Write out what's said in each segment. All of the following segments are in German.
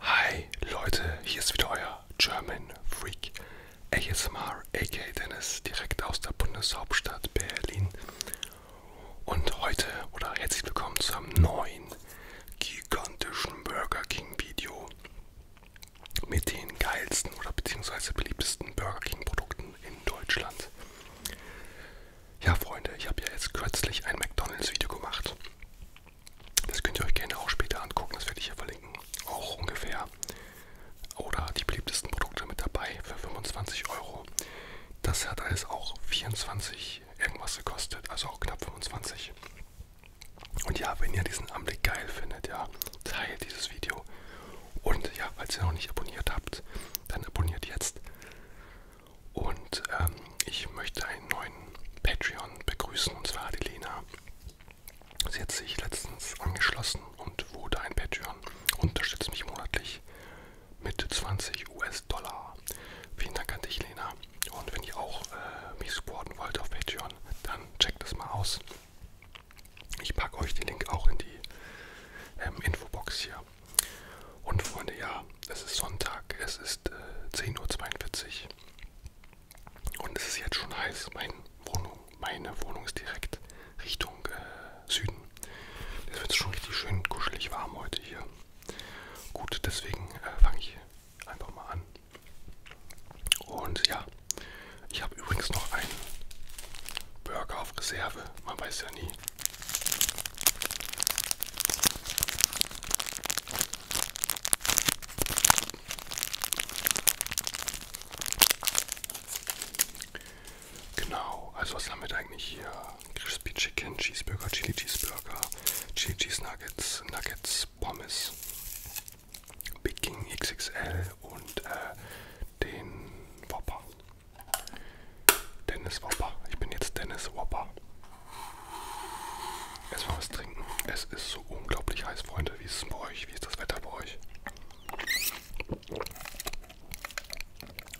Hi Leute, hier ist wieder euer German Freak ASMR, aka Dennis, direkt aus der Bundeshauptstadt Berlin. Und heute oder herzlich willkommen zu einem neuen gigantischen Burger King Video mit den geilsten oder beziehungsweise beliebtesten Burger King Produkten in Deutschland. Ja, Freunde, ich habe ja jetzt kürzlich ein McDonalds-Video gemacht. Das könnt ihr euch gerne auch später angucken, das werde ich hier verlinken. Auch ungefähr. Oder die beliebtesten Produkte mit dabei für 25 Euro. Das hat alles auch 24 irgendwas gekostet, also auch knapp 25. Und ja, wenn ihr diesen Anblick geil findet, ja, teilt dieses Video und ja, falls ihr noch nicht abonniert habt, dann abonniert jetzt. Und ähm, ich möchte einen neuen Patreon begrüßen, und zwar die Lena. Sie hat sich letztens angeschlossen und wurde ein Patreon. Unterstützt mich monatlich mit 20 US-Dollar. Vielen Dank an dich, Lena. Und wenn ihr auch äh, mich supporten wollt auf Patreon, dann checkt das mal aus. Ich packe euch den Link auch in die ähm, Infobox hier. Und Freunde, ja, es ist Sonntag, es ist äh, 10.42 Uhr und es ist jetzt schon heiß. Mein Wohnung, meine Wohnung ist direkt Richtung äh, Süden. Es wird schon richtig schön kuschelig warm heute hier. Gut, deswegen äh, fange ich einfach mal an. Und ja, ich habe übrigens noch einen Burger auf Reserve. Man weiß ja nie, Genau, also was haben wir da eigentlich hier? Crispy Chicken, Cheeseburger, Chili Cheeseburger, Chili Cheese Nuggets, Nuggets, Pommes, Big King XXL und äh, den Whopper. Dennis Wopper. Ich bin jetzt Dennis Wopper. Erstmal was trinken. Es ist so unglaublich heiß, Freunde. Wie ist es bei euch? Wie ist das Wetter bei euch?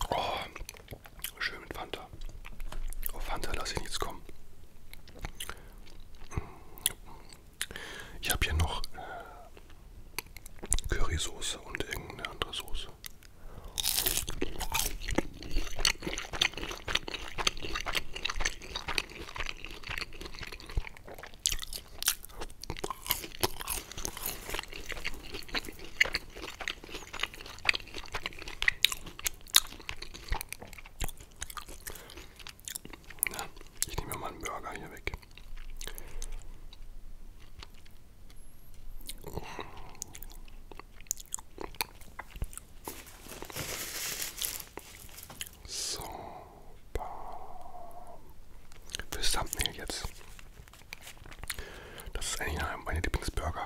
Oh, schön mit Fanta. Auf Fanta lasse ich nichts kommen. Ich habe hier noch äh, Currysoße und irgendeine andere Soße. Ja, ich nehme mal einen Burger hier weg. So. Fürs Thumbnail jetzt. Das ist eigentlich meine Lieblingsburger.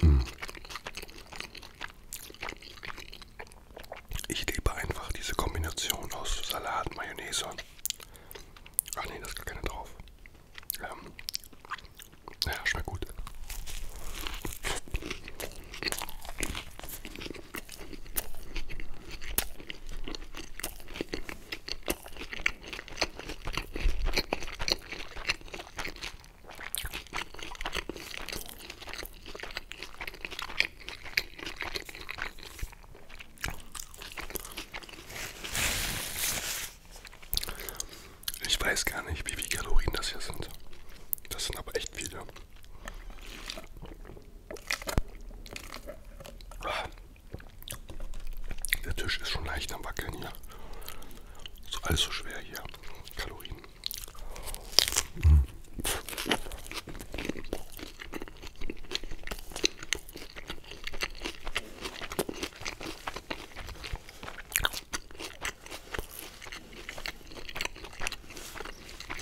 Hm. Ich liebe einfach diese Kombination aus Salat, Mayonnaise. Ach nee, da ist gar keine drauf. Ähm, naja, schmeckt gut. Ich weiß gar nicht, wie viele Kalorien das hier sind. Das sind aber echt viele. Der Tisch ist schon leicht am Wackeln hier. Ist alles so schwer hier. Kalorien. Mhm.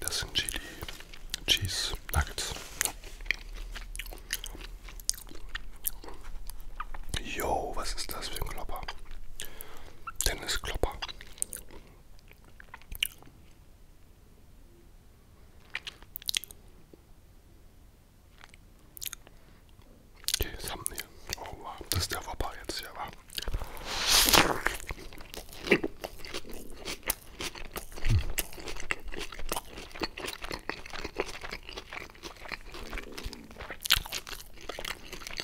Das sind Chili Cheese Nuggets. Jo, was ist das für ein Klopper? Dennis Klopper. Okay, Thumbnail. Oh wow, das ist der Wopper jetzt hier, war.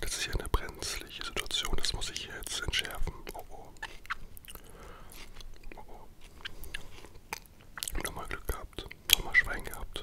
Das ist ja eine brenzliche Situation, das muss ich jetzt entschärfen. Oh oh. Oh oh. Nochmal Glück gehabt. Nochmal Schwein gehabt.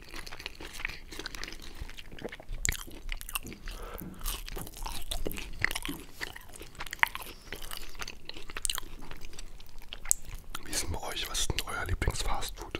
Wie ist denn bei euch? Was ist denn euer Lieblingsfastfood?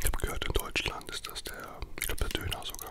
Ich habe gehört, in Deutschland ist das der, ich glaube, der Döner sogar.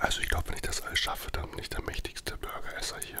Also ich glaube, wenn ich das alles schaffe, dann bin ich der mächtigste Burgeresser hier.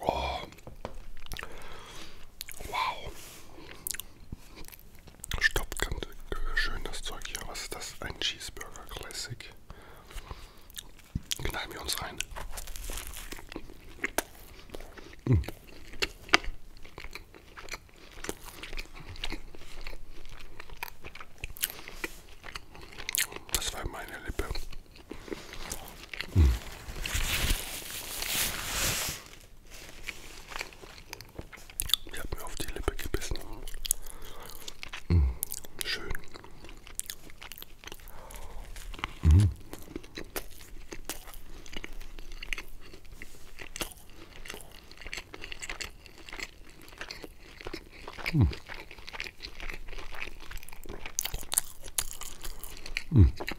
Oh. Wow. Stoppt ganz äh, schön das Zeug hier. Was ist das? Ein Cheeseburger Classic. Knallen wir uns rein. Mm. Das war meine Lippe. Hm. Ich habe mir auf die Lippe gebissen. Hm. Schön. Hm. Hm. Hm.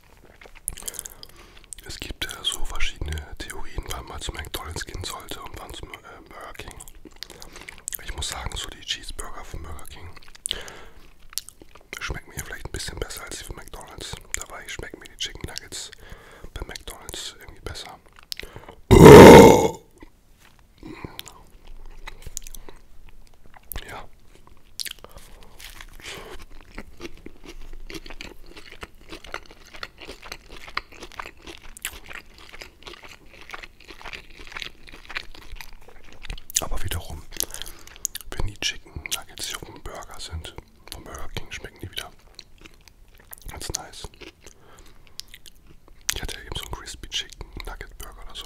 Es gibt äh, so verschiedene Theorien, wann man zu McDonalds gehen sollte und wann zum äh, Burger King. Ich muss sagen, so die Cheeseburger von Burger King schmecken mir vielleicht ein bisschen besser als die von McDonalds. Dabei schmecken mir die Chicken Nuggets bei McDonalds irgendwie besser. Ja. Aber wiederum, wenn die Chicken Nuggets hier auf dem Burger sind, vom Burger King schmecken die wieder ganz nice. Ich hatte ja eben so einen Crispy Chicken Nugget Burger oder so.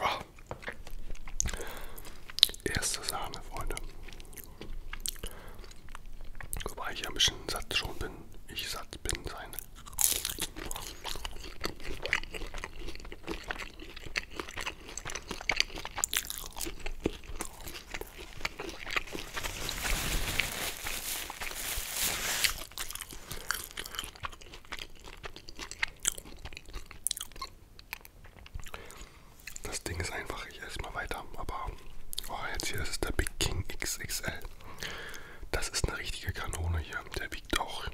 Oh. Erste Sahne, Freunde. Wobei ich ja ein bisschen satt schon bin. Ich satt bin sein. Das Ding ist einfach, ich esse mal weiter, aber oh, jetzt hier, das ist der Big King XXL. Das ist eine richtige Kanone hier, der wiegt auch.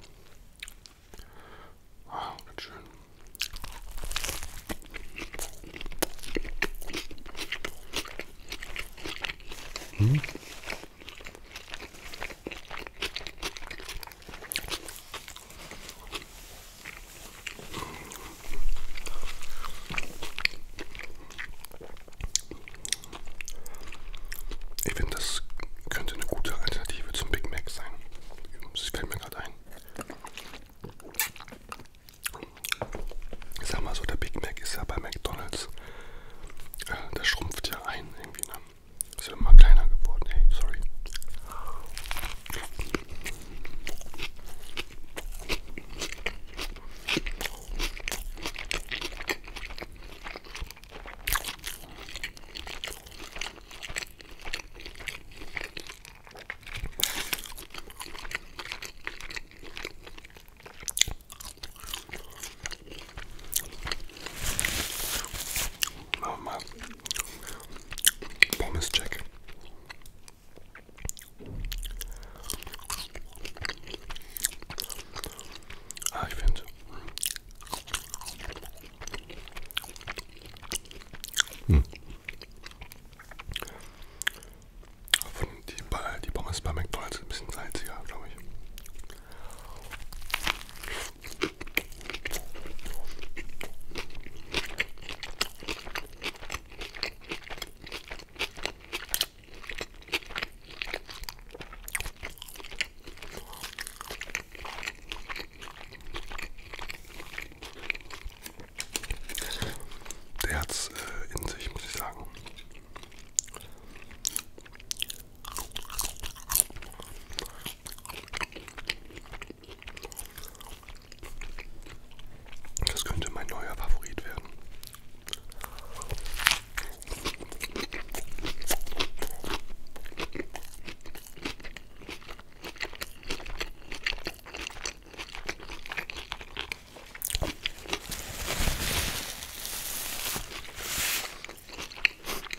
Ah, ganz schön. Hm. Ich finde, das könnte eine gute Alternative zum Big Mac sein. Das fällt mir gerade ein. Ich sag mal so, der Big Mac ist ja bei McDonalds. Äh, der schrumpft ja ein irgendwie. Ne? Ist immer kleiner geworden, ey, sorry. Machen wir mal Pommes-Check. Ah, ich finde. Hm. Die, die Pommes bei McDonalds ist ein bisschen salziger, glaube ich. Der hat es äh, in sich, muss ich sagen. Das könnte mein neuer Favorit werden.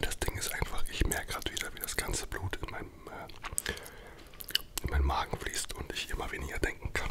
Das Ding ist einfach, ich merke gerade wieder, wie das ganze Blut in meinem, äh, in meinen Magen fließt und ich immer weniger denken kann.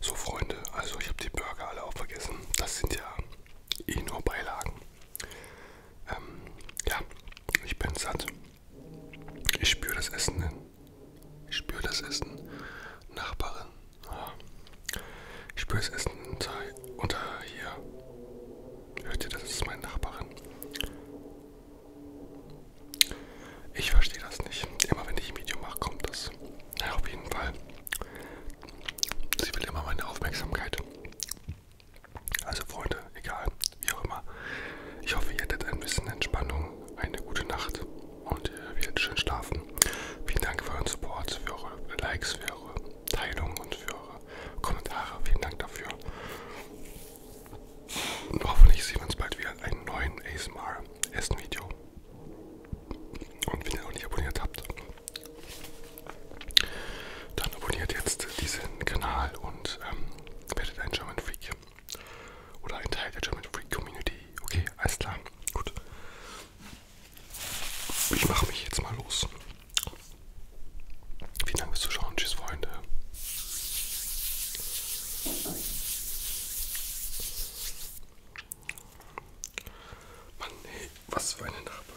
So Freunde, also ich habe die Burger alle auch vergessen. Das sind ja eh nur Beilagen. Ähm, ja, ich bin satt. Ich spüre das Essen hin. Ich spüre das Essen. Nachbarin. Ah. Ich spüre das Essen unter, unter hier. Hört ihr, das ist meine Nachbarin. Ich verstehe das nicht. Immer wenn ich ein Video mache, kommt das. Ja, auf jeden Fall. Sie will immer meine Aufmerksamkeit. Also Freunde, egal, wie auch immer. Ich hoffe, ihr hattet ein bisschen Entspannung eine gute Nacht und äh, ihr werdet schön schlafen. Vielen Dank für euren Support, für eure Likes, für eure Teilung und für eure Kommentare. Vielen Dank dafür. Und hoffentlich sehen wir uns bald wieder in einem neuen ASMR-Essen-Video. Und wenn ihr noch nicht abonniert habt, dann abonniert jetzt diesen Kanal und ähm, werdet ein German Freak. Oder ein Teil der German Freak Community. Okay, alles klar. Gut. Ich mache mich jetzt mal los. Vielen Dank fürs Zuschauen. Tschüss, Freunde. Mann, ey, was für eine Nachbarin.